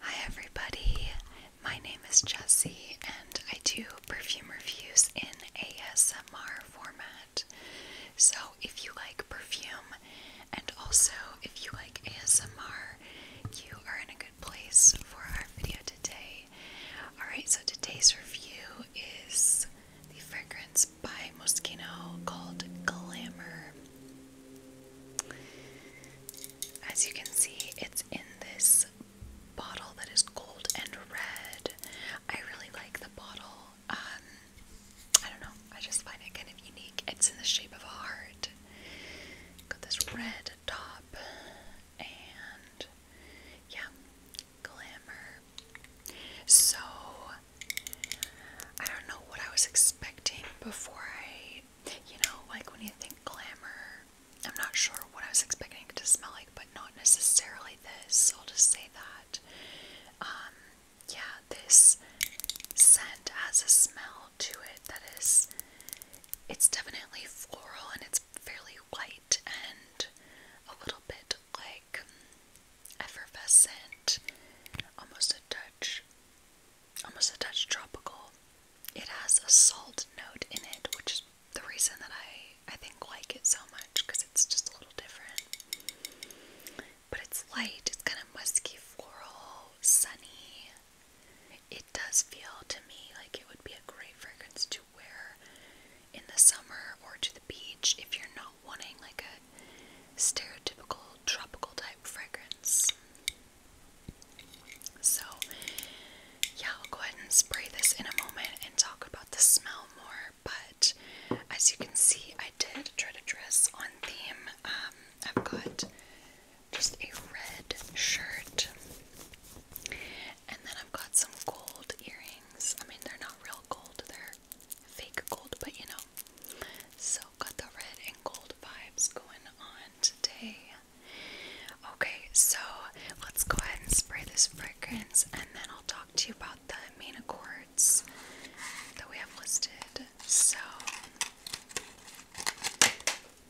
Hi, everybody. My name is Jessie, and I do perfume reviews in ASMR format. So, if you like perfume and also if you like ASMR, you are in a good place for our video today. Alright, so today's review is the fragrance by Moschino called Glamour. As you can see, it's in this bottle that is gold and red. I really like the bottle. Um, I don't know, I just find it kind of unique. It's in the shape of a heart. Got this red top and yeah, glamour. So I don't know what I was expecting before I right? You know, like when you think glamour, I'm not sure what I was expecting it to smell like, but not necessarily this. I'll just say that. Um, yeah, this scent has a smell to it that is, it's definitely floral and it's fairly light and a little bit like effervescent, almost a touch almost a touch tropical. It has a salt note in it, which is the reason that I I think like it so much because it's just a little different. But it's light. It's kind of musky, floral, sunny. It does feel to me like it would be a great fragrance to wear in the summer or to the beach if you're not wanting like a stereotypical tropical type fragrance. So, yeah, I'll go ahead and spray this in a moment and talk about the smell more. But as you can see, I did try to dress on theme. Um, I've got just a red shirt, and then I've got some gold earrings. I mean, they're not real gold, they're fake gold, but you know. So, got the red and gold vibes going on today. Okay, so let's go ahead and spray this fragrance and then I'll talk to you about the main accords that we have listed. So,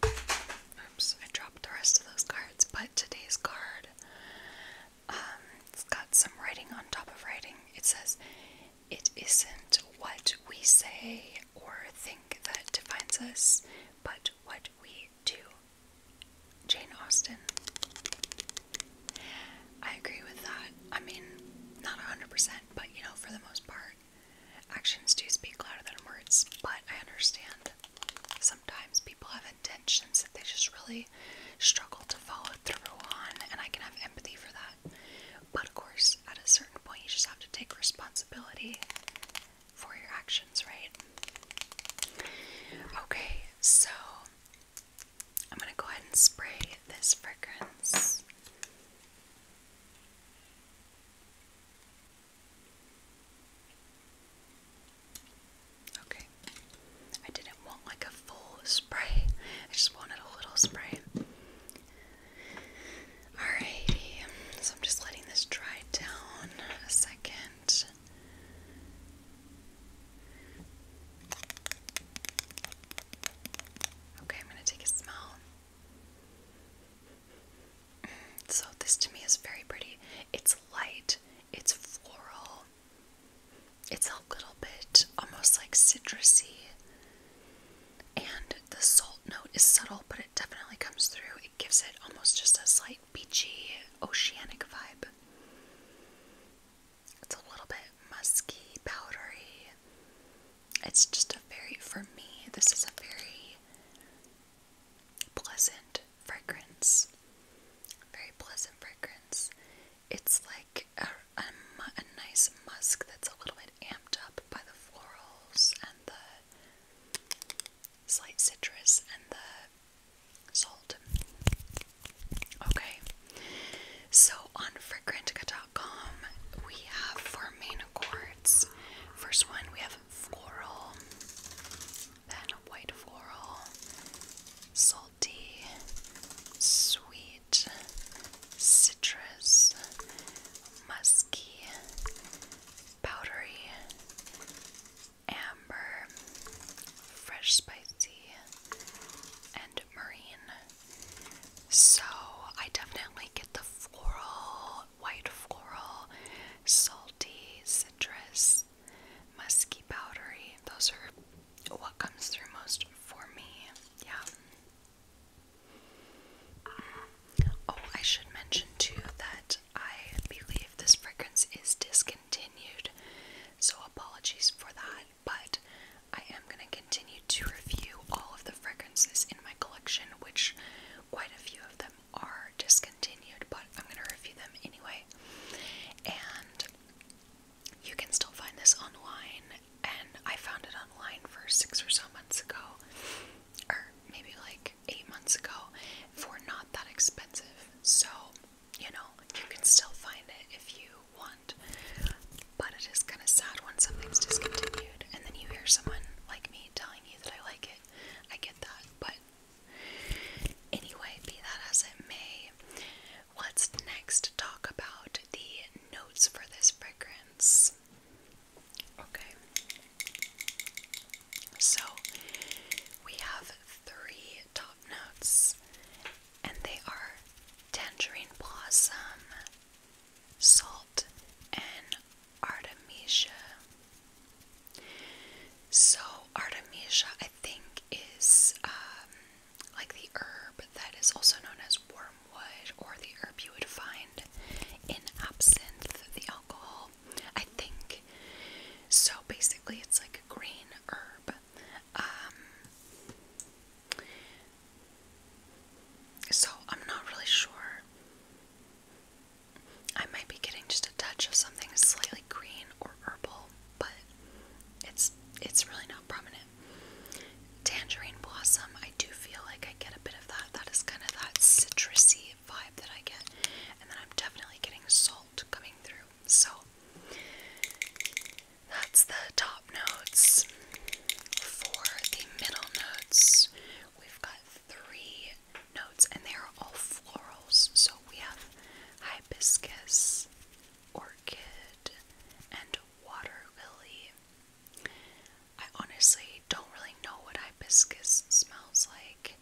oops, I dropped the rest of those cards, but today's card, um, it's got some writing on top of writing. It says, it isn't what we say or think that defines us, but what we do. Jane Austen. I agree with that. I mean, not 100%, but you know, for the most part, actions do speak louder than words. But I understand sometimes people have intentions that they just really struggle to follow through on, and I can have empathy for that. But of course, at a certain point you just have to take responsibility for your actions, right? Okay, so I'm gonna go ahead and spray this fragrance. Okay, I didn't want like a full spray, I just wanted a little spray. Alrighty, so I'm just letting this dry down a second. Okay, I'm going to take a smell. So, this to me is very pretty. It's light, it's floral, it's a little bit almost like citrusy. And the salt note is subtle, but it definitely comes through. It gives it almost just a slight beachy, oceanic vibe. It's a little bit musky, powdery. It's just a very, for me, this is a very pleasant fragrance. Very pleasant fragrance. It's like a, nice musk that's a little bit amped up by the florals and the slight citrus and the salt. Okay, so on Fragrantica.com we have four main accords. First one we have floral, then white floral, salty, sweet citrus, musky, powdery, amber, fresh spicy, and marine. So I definitely get the floral, white floral, salty, citrus, musky, powdery. Those are what comes through most for me. Yeah. Oh, I should mention too that I believe this fragrance is discontinued, so apologies for that, but I am going to continue to review all of the fragrances in my collection, which quite a few of them are discontinued, but I'm going to review them anyway. And you can still find this online, and I found it online for six or so months ago, or maybe like eight months ago, for not that expensive. So, you know, you can still find it if you want, but it is kind of sad when something's discontinued, and then you hear someone like me telling you that I like it. I get that, but anyway, be that as it may, What's us next talk about the notes for this fragrance. Okay. So we have three top notes, and they are tangerine blossom, salt, and artemisia. So artemisia, I think, is um, like the herb that is also known as wormwood or the herb you would find in absinthe, the alcohol, I think. So basically, it's like a green herb. Um, so I'm not really sure. I might be getting just a touch of something slightly green or herbal, but it's it's really not prominent Tangerine blossom, I do feel like I get a bit of that. That is kind of that citrusy vibe that I get. And then I'm definitely getting salt coming through. So that's the top notes. For the middle notes, we've got three notes and they are all florals. So we have hibiscus, orchid, and water lily. I honestly don't really know what hibiscus smells like.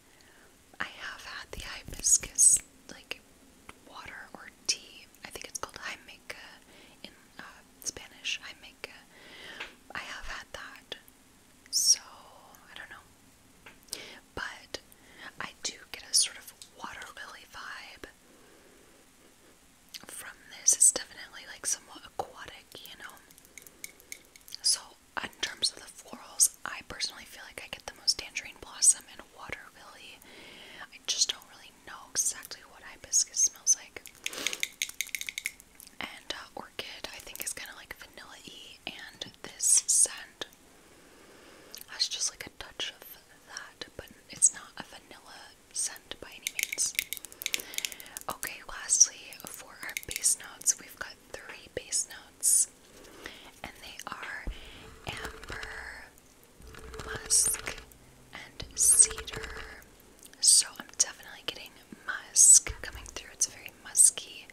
I have had the hibiscus, like water or tea. I think it's called jameca in uh, Spanish. Jameca. I have had that. So, I don't know. But I do get a sort of water lily vibe from this it's definitely like somewhat aquatic, you know. So in terms of the florals, I personally feel like I get the most tangerine blossom and water lily. I just don't really know exactly what hibiscus smells like. And uh, orchid, I think, is kind of like vanilla y, and this scent has just like touch of that, but it's not a vanilla scent by any means. Okay, lastly, for our base notes, we've got three base notes, and they are amber, musk, and cedar. So I'm definitely getting musk coming through. It's a very musky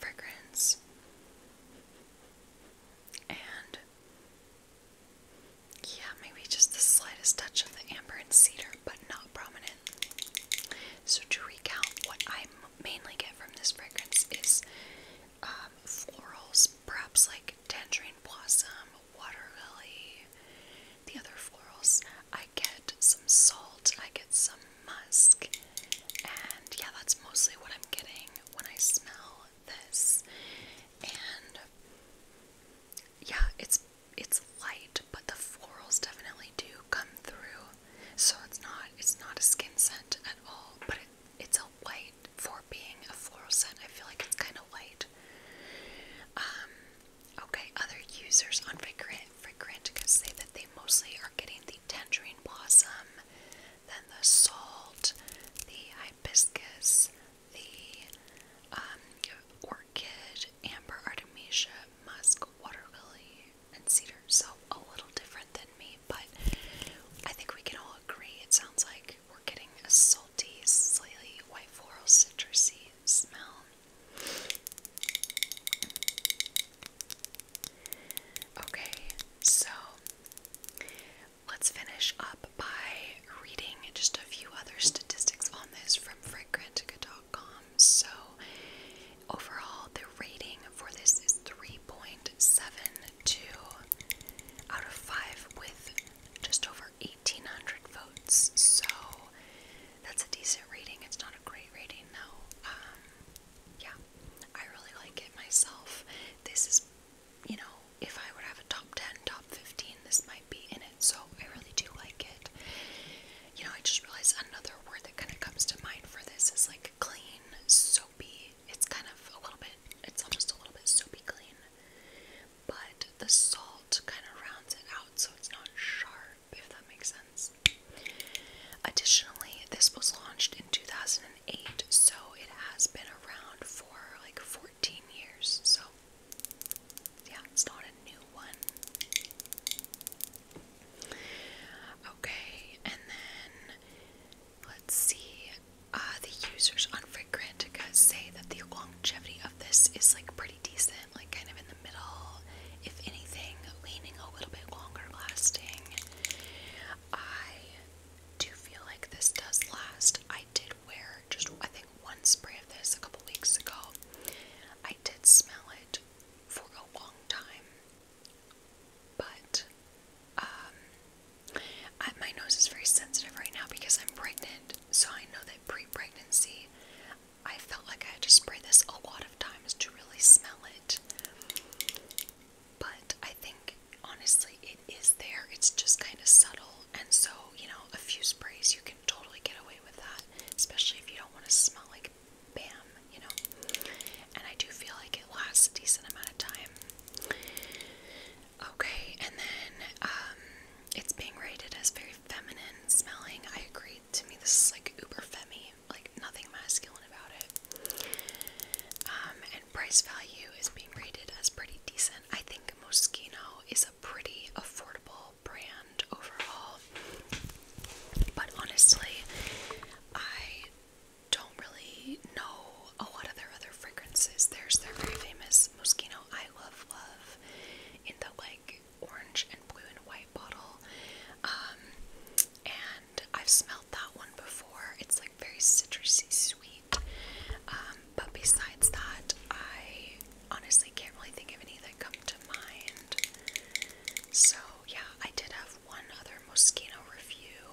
fragrance. And yeah, maybe just the slightest touch of the amber and cedar, but not prominent. So, to recount, what I mainly get from this fragrance is um, florals, perhaps like tangerine blossom, water lily, the other florals. I get some salt, I get some musk, and yeah, that's mostly what I'm getting when I smell this. And yeah, it's it's light, but the florals definitely do come through. So it's not it's not a skin scent at all, but it, it's a light for being a floral scent. I feel like it's kind of light. Um, okay, other users on Fragrant Fragrant say that they mostly are getting the tangerine blossom, then the salt, the hibiscus, the um, orchid, amber artemisia, musk, water lily, and cedar. So a little different than me, but I think we can all agree. It sounds like we're getting a salty, slightly white floral citrusy smell. Okay, so Let's finish up by reading just a few other statistics on this from fragrantica.com. So, overall, the rating for this is 3.72 out of 5 with just over 1800 votes. So, that's a decent rating. It's not a great rating, though. Um, yeah, I really like it myself. This is you know, if I would have a top 10, top 15, this might be in it. So I really do like it. You know, I just realized another word that kind of comes to mind for this is like clean, soapy. It's kind of a little bit, it's almost a little bit soapy clean. But the salt kind of rounds it out so it's not sharp, if that makes sense. Additionally, this was launched in 2008, so it has been around for like 14 13 years, so yeah, it's not a new one. Okay, and then let's see. Uh, the users on Fragrantica say that the longevity of this is like pretty decent, like kind of in the middle, if anything, leaning a little bit longer lasting. I do feel like this does last. I did wear just, I think, one spray of this a couple weeks ago. I did smell it for a long time, but um, my nose is very sensitive right now because I'm pregnant, so I know that pre pregnancy. I felt like I had to spray this a lot of times to really smell it. But I think honestly it is there. It's just kind of subtle. And so, you know, a few sprays you can totally get away with that, especially if you don't want to smell like bam, you know. And I do feel like it lasts a decent amount of time. Okay, and then um it's being rated as very feminine smelling. I agree. To me this is like uber femmy, like nothing masculine about it. Um and price value is being rated as pretty decent. I think Moschino is a pretty affordable brand overall. But honestly, I don't really know a lot of their other fragrances. There's their very famous Moschino I Love Love in the like orange and blue and white bottle. Um, and I've smelled that one before. It's like very citrusy, um, but besides that, I honestly can't really think of any that come to mind. So, yeah, I did have one other Moschino review.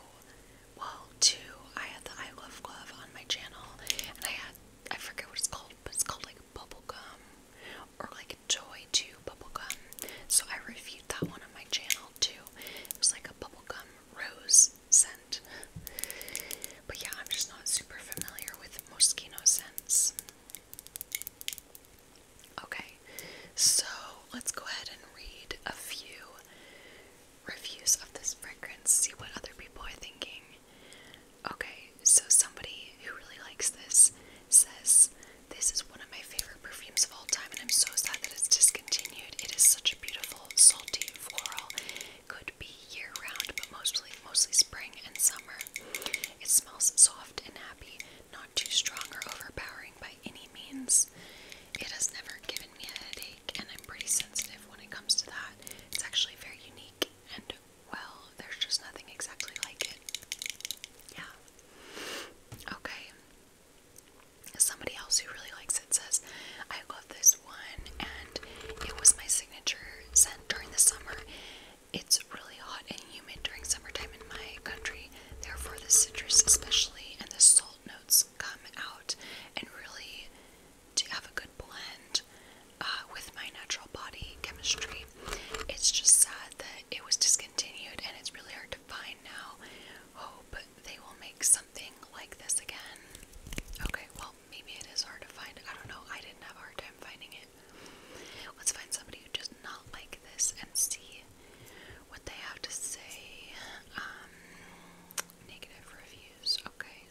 Well, two. I had the I Love Glove on my channel, and I had, I forget what it's called, but it's called like bubblegum or like Joy 2 bubblegum. So, I reviewed that one on my channel too. It was like a bubblegum rose scent. But yeah, I'm just not super familiar with Moschino scents. Okay, so let's go ahead and read a few reviews of this fragrance, see what other people are thinking. Okay, so somebody who really likes this says, This is one of my favorite perfumes of all time, and I'm so sad that it's discontinued. It is such a beautiful beautiful salty floral. Could be year round, but mostly mostly spring and summer. It smells soft and happy, not too strong or overpowering by any means. It has never given me a headache, and I'm pretty sensitive when it comes to that. It's actually very unique, and well, there's just nothing exactly like it. Yeah. Okay, Somebody else who really likes it says, I love this one and it was my signature scent during the summer. It's really hot and humid during summertime in my country, therefore, the citrus, especially, and the salt notes come out and really to have a good blend uh, with my natural body chemistry. It's just sad that it was discontinued and it's really hard to find now. Hope they will make some something like this again. Okay, well, maybe it is hard to find. I don't know. I didn't have a hard time finding it. Let's find somebody who just not like this and see what they have to say. Um, negative reviews. Okay.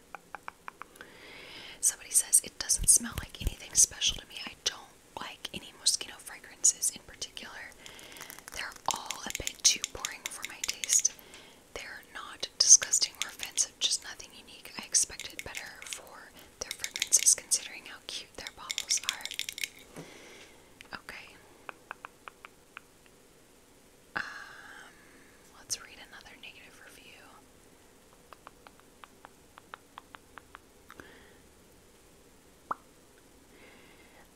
Somebody says, it doesn't smell like anything special to me. I don't like any Moschino fragrances in particular. They're all a bit too boring for my taste. They're not disgusting or offensive, just nothing unique. I expected better for their fragrances considering how cute their bottles are. Okay. Um, let's read another negative review.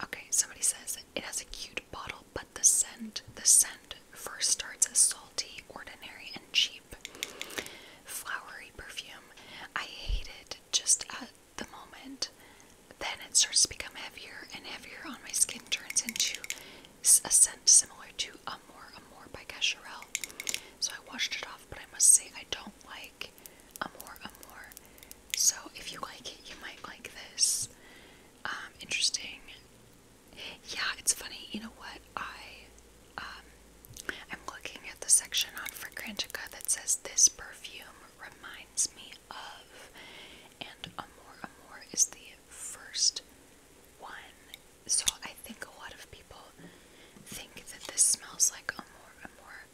Okay, somebody says it has a cute bottle, but the scent, the scent first starts as salty, ordinary, and cheap. Flowery perfume. I hate it just at the moment. Then it starts to become heavier and heavier on my skin, turns into a scent similar to Amour Amour by Cacharel. So I washed it off, but I must say I don't like Amour Amour. So if you like it, you might like this. Um, interesting. Yeah, it's funny. You know what? I um, I'm looking at the section on Fragrantica that says this perfume reminds me of, and Amor Amor is the first one. So I think a lot of people think that this smells like Amor Amor.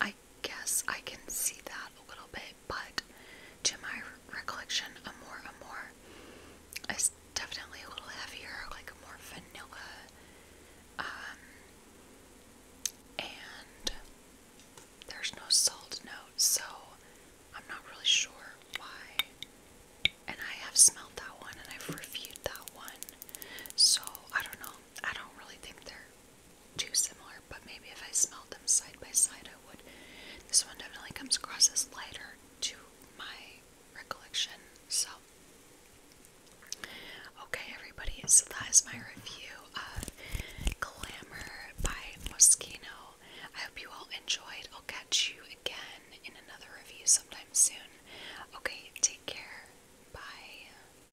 I guess I can see that a little bit, but to my re recollection, Amor Amor is definitely a little heavier, like more vanilla. Um, and there's no salt note, so I'm not really sure why. And I have smelled that one and I've reviewed that one, so I don't know. I don't really think they're too similar, but maybe if I smelled them side by side, I would. This one definitely comes across as lighter to my recollection. So, okay, everybody, so that is my review of Glamour by Moschino. I hope you all enjoyed. I'll catch you again in another review sometime soon. Okay, take care. Bye.